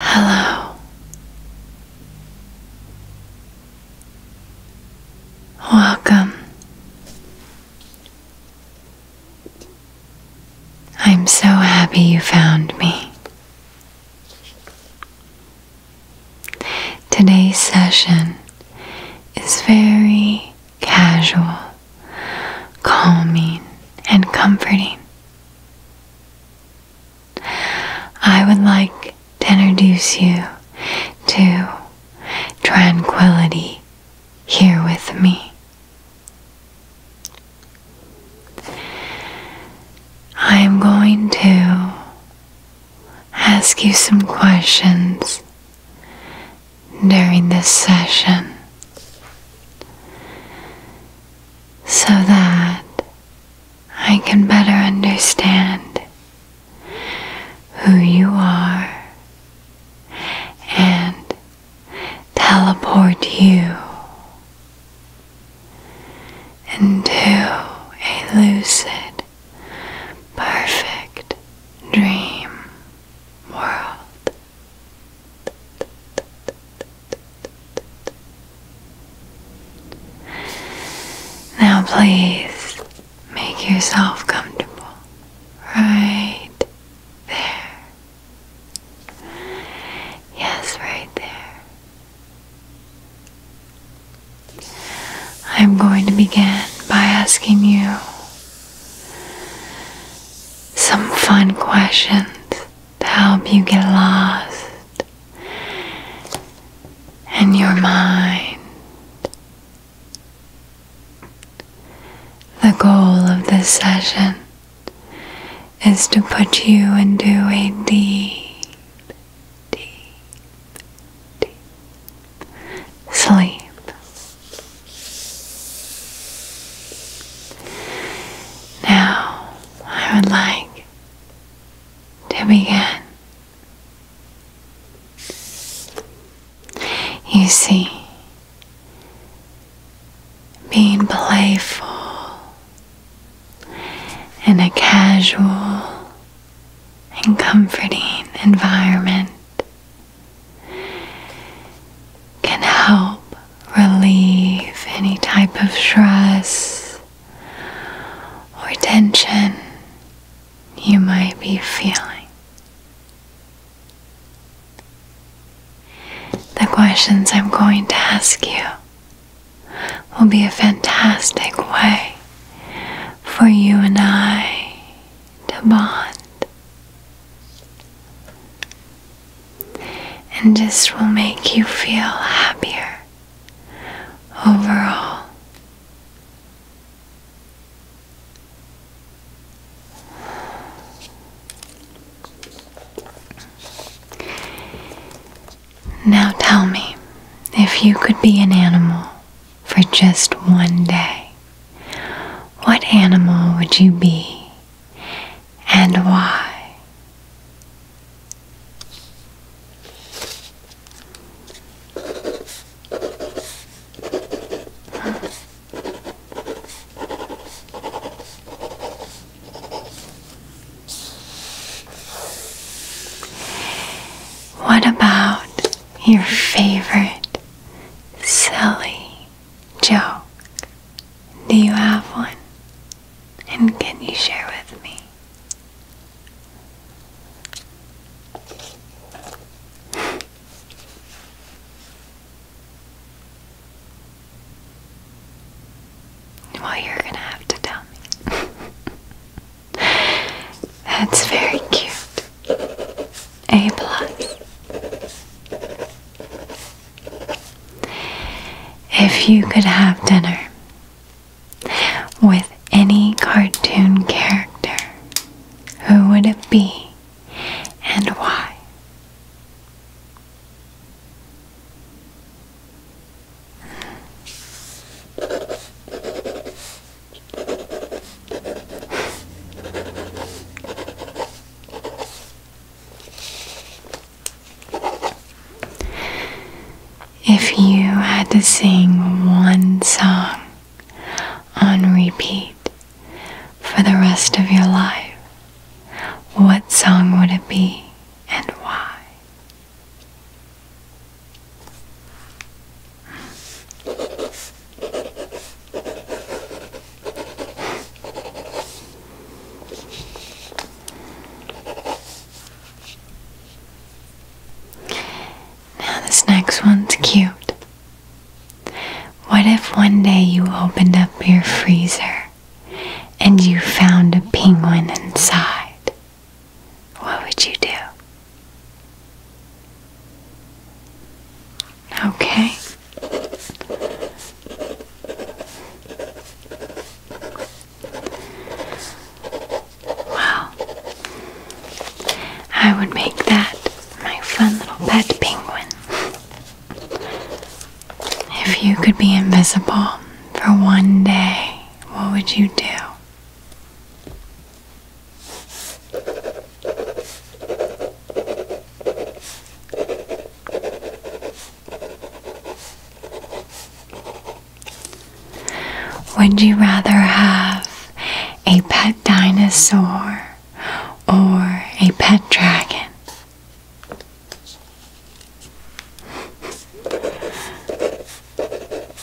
Hello. Welcome. I'm so happy you found me. Today's session is very casual, calming, and comforting. I would like to introduce you to tranquility here with me. I am going to ask you some questions during this session so that I can better understand who you are and teleport you into a lucid, perfect dream world. Now, please make yourself comfortable right there. Yes, right there. I'm going to begin by asking you some fun questions to help you get lost in your mind. The goal of this session is to put you into a deep, deep, deep sleep. Now, I would like to begin. You see, being playful in a casual and comforting environment can help relieve any type of stress or tension you might be feeling. The questions I'm going to ask you will be a fantastic way for you and I to bond and this will make you feel happier overall. Now tell me, if you could be an animal for just one day, what animal would you be and why. What about your favorite silly Joe, Do you have one? And can you share with me? Well, you're going to have to tell me. That's very cute. A plus. If you could have dinner with any cartoon character, who would it be and why? If you had to sing one song on repeat for the rest of your life, what song would it be and why? Now, this next one's cute. What if one day you opened up your freezer and you found a penguin inside? What would you do? Okay. Wow. I would make that my fun little pet penguin. If you could be invisible for one day, what would you do? Would you rather have a pet dinosaur or a pet dragon?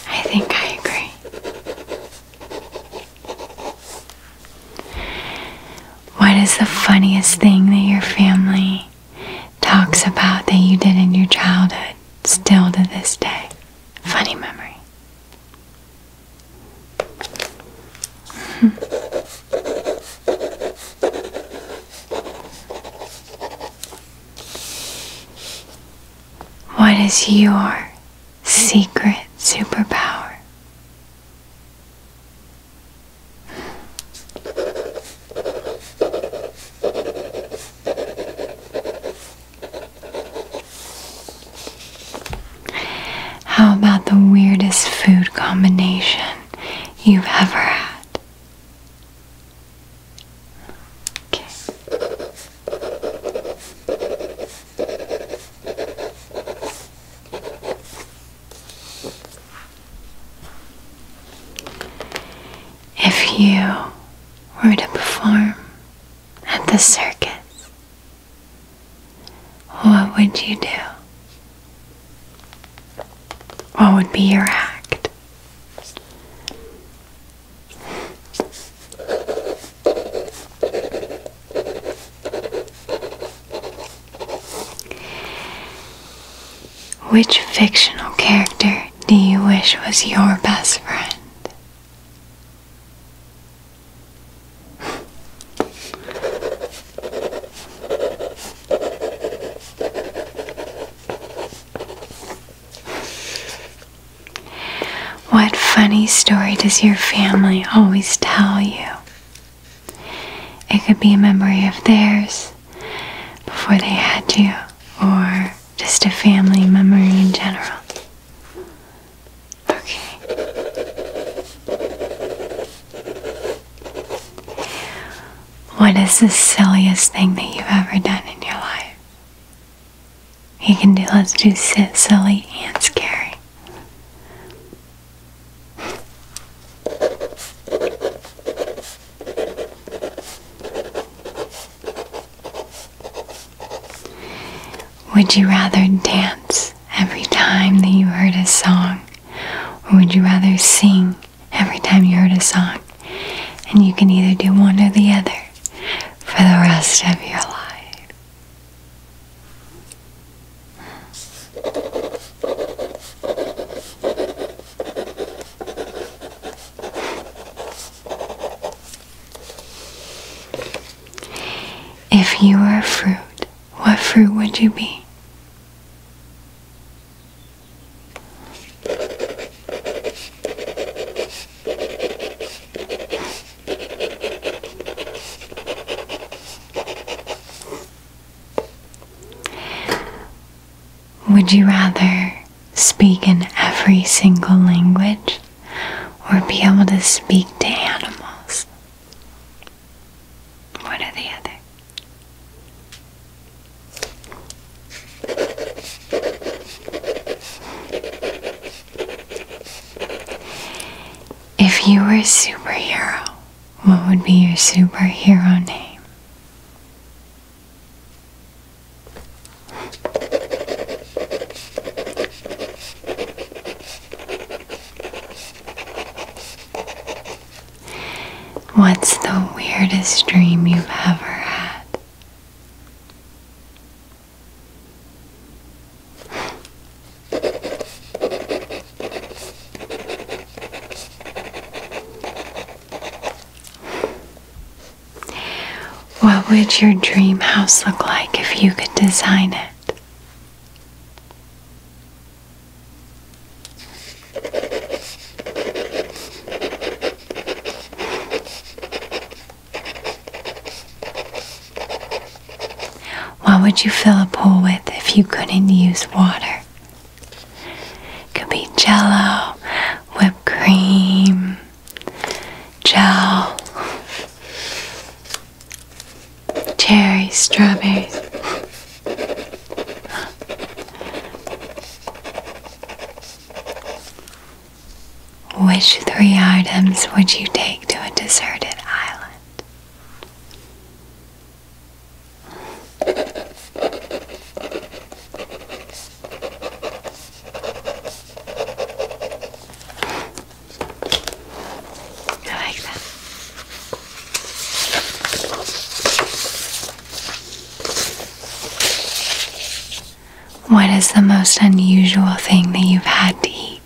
I think I agree. What is the funniest thing that your family talks about that you did in your childhood still to this day? Funny memory. what is your secret superpower? How about the weirdest food combination you've ever had? Okay. If you were to perform at the circus, what would you do? What would be your act? Which fictional character do you wish was your best friend? What funny story does your family always tell you? It could be a memory of theirs before they had you, or just a family memory in general. Okay. What is the silliest thing that you've ever done in your life? You can do, let's do sit, silly, and scary. Would you rather dance every time that you heard a song? Or would you rather sing every time you heard a song? And you can either do one or the other for the rest of your life. If you were a fruit, what fruit would you be? Would you rather speak in every single language or be able to speak to animals? One or the other. If you were a superhero, what would be your superhero name? What's the weirdest dream you've ever had? What would your dream house look like if you could design it? What would you fill a pool with if you couldn't use water? It could be jello, whipped cream, gel, cherry, strawberries. Which three items would you take to a deserted island? I like that. What is the most unusual thing that you've had to eat?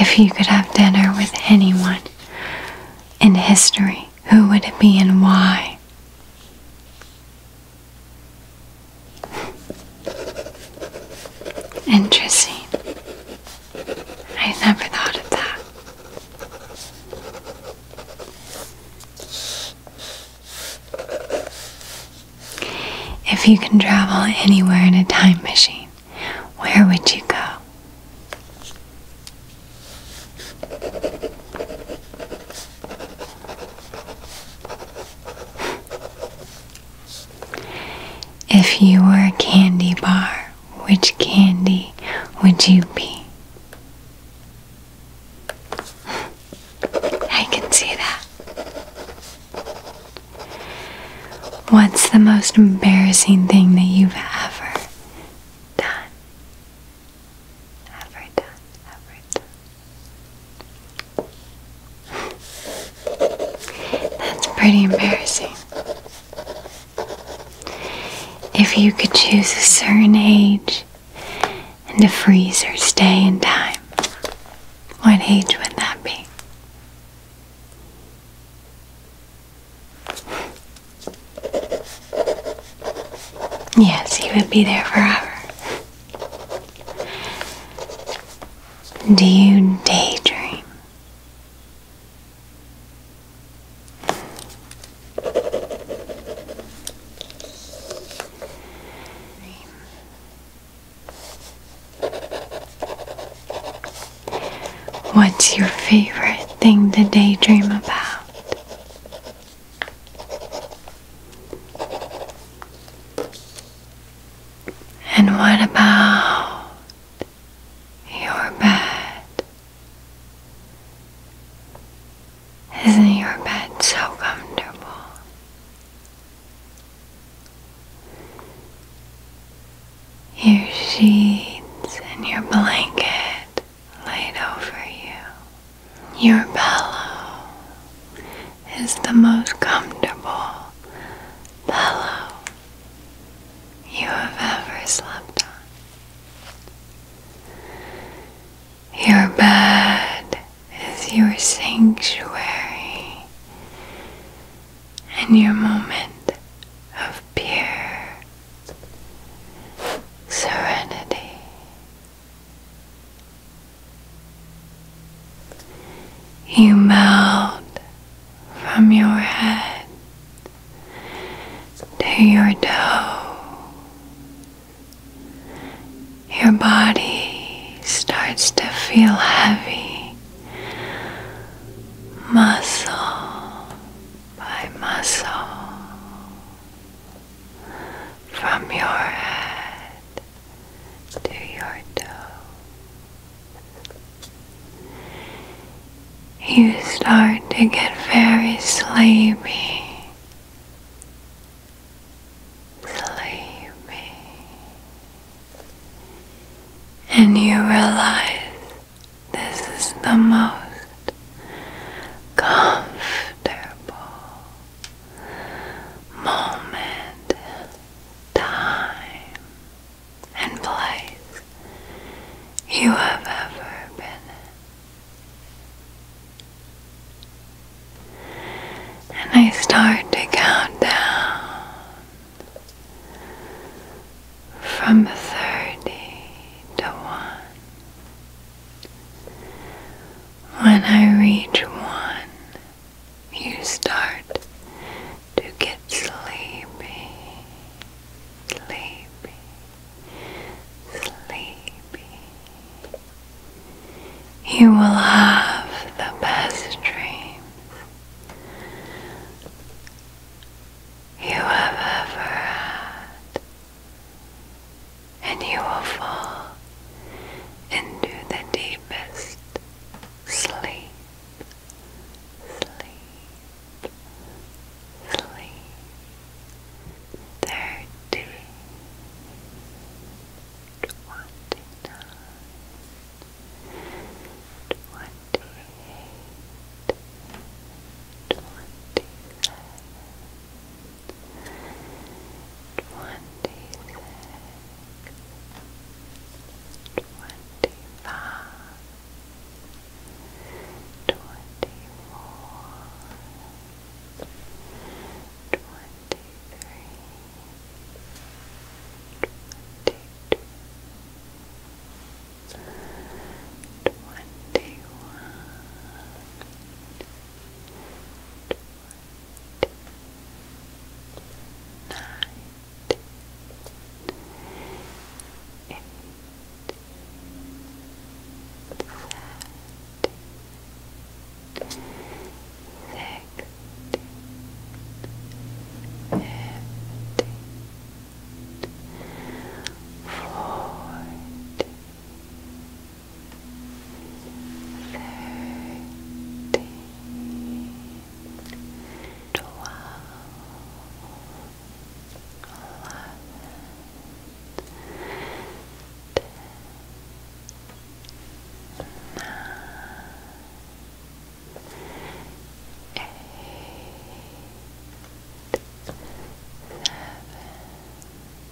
If you could have dinner with anyone in history, who would it be and why? Interesting. I never thought of that. If you can travel anywhere in a time machine, where would you go? If you were a candy bar, which candy would you be? I can see that. What's the most embarrassing thing that you've ever done? Ever done, ever done. That's pretty embarrassing. If you could choose a certain age and a freezer stay in time, what age would that be? Yes, he would be there forever. Do you daydream? What's your favorite thing to daydream about? And what about your bed? Isn't your bed so comfortable? Your sheets and your blanket laid over you, your pillow is the most comfortable pillow you have ever slept on. Your bed is your sanctuary and your moment of pure serenity. You melt from your head to your toe. Your body starts to feel heavy, muscle by muscle from your head to your toes. You start to get very sleepy. Sleepy. And you realize this is the most comfortable moment, time, and place you have ever been And I start to count down from 30 to 1. When I reach one, you start to get sleepy, sleepy, sleepy. You will have the best dreams you have ever had and you will fall into the deepest sleep, sleep, sleep. Thirty, twenty-nine, twenty-eight, twenty-seven twenty-six, twenty-five, twenty-four, twenty-three, twenty-two, Twenty one, nine, eight, seven, six, Fifteen, fourteen, thirteen, thirteen, twelve, eleven, ten, nine, eight, seven. Six,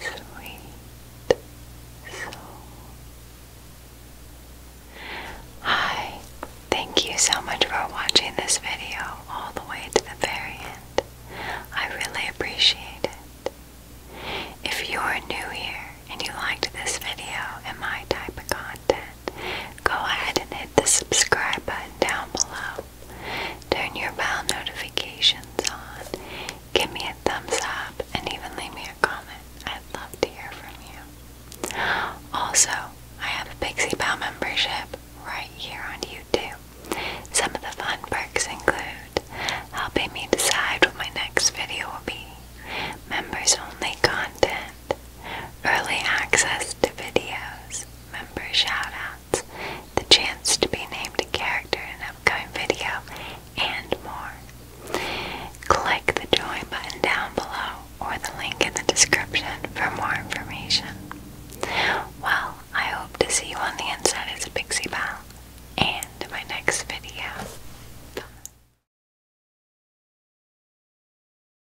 sweet soul. Hi, thank you so much for watching this video all the way to the very end. I really appreciate it. If you're new here and you liked this video and my type of content, go ahead and hit the subscribe button down below. Turn your bell notifications on. Give me a thumbs up and even leave me a comment. I'd love to hear from you. Also, I have a Pixie Pal membership right here on YouTube. Some of the fun perks include helping me decide what my next video will be, members only content, early access to videos, member shoutouts, the chance to be named a character in an upcoming video, and more. Click the join button down below or the link in the description for more information. Well, I hope to see you on the inside as Pixie Belle and my next video. Bye.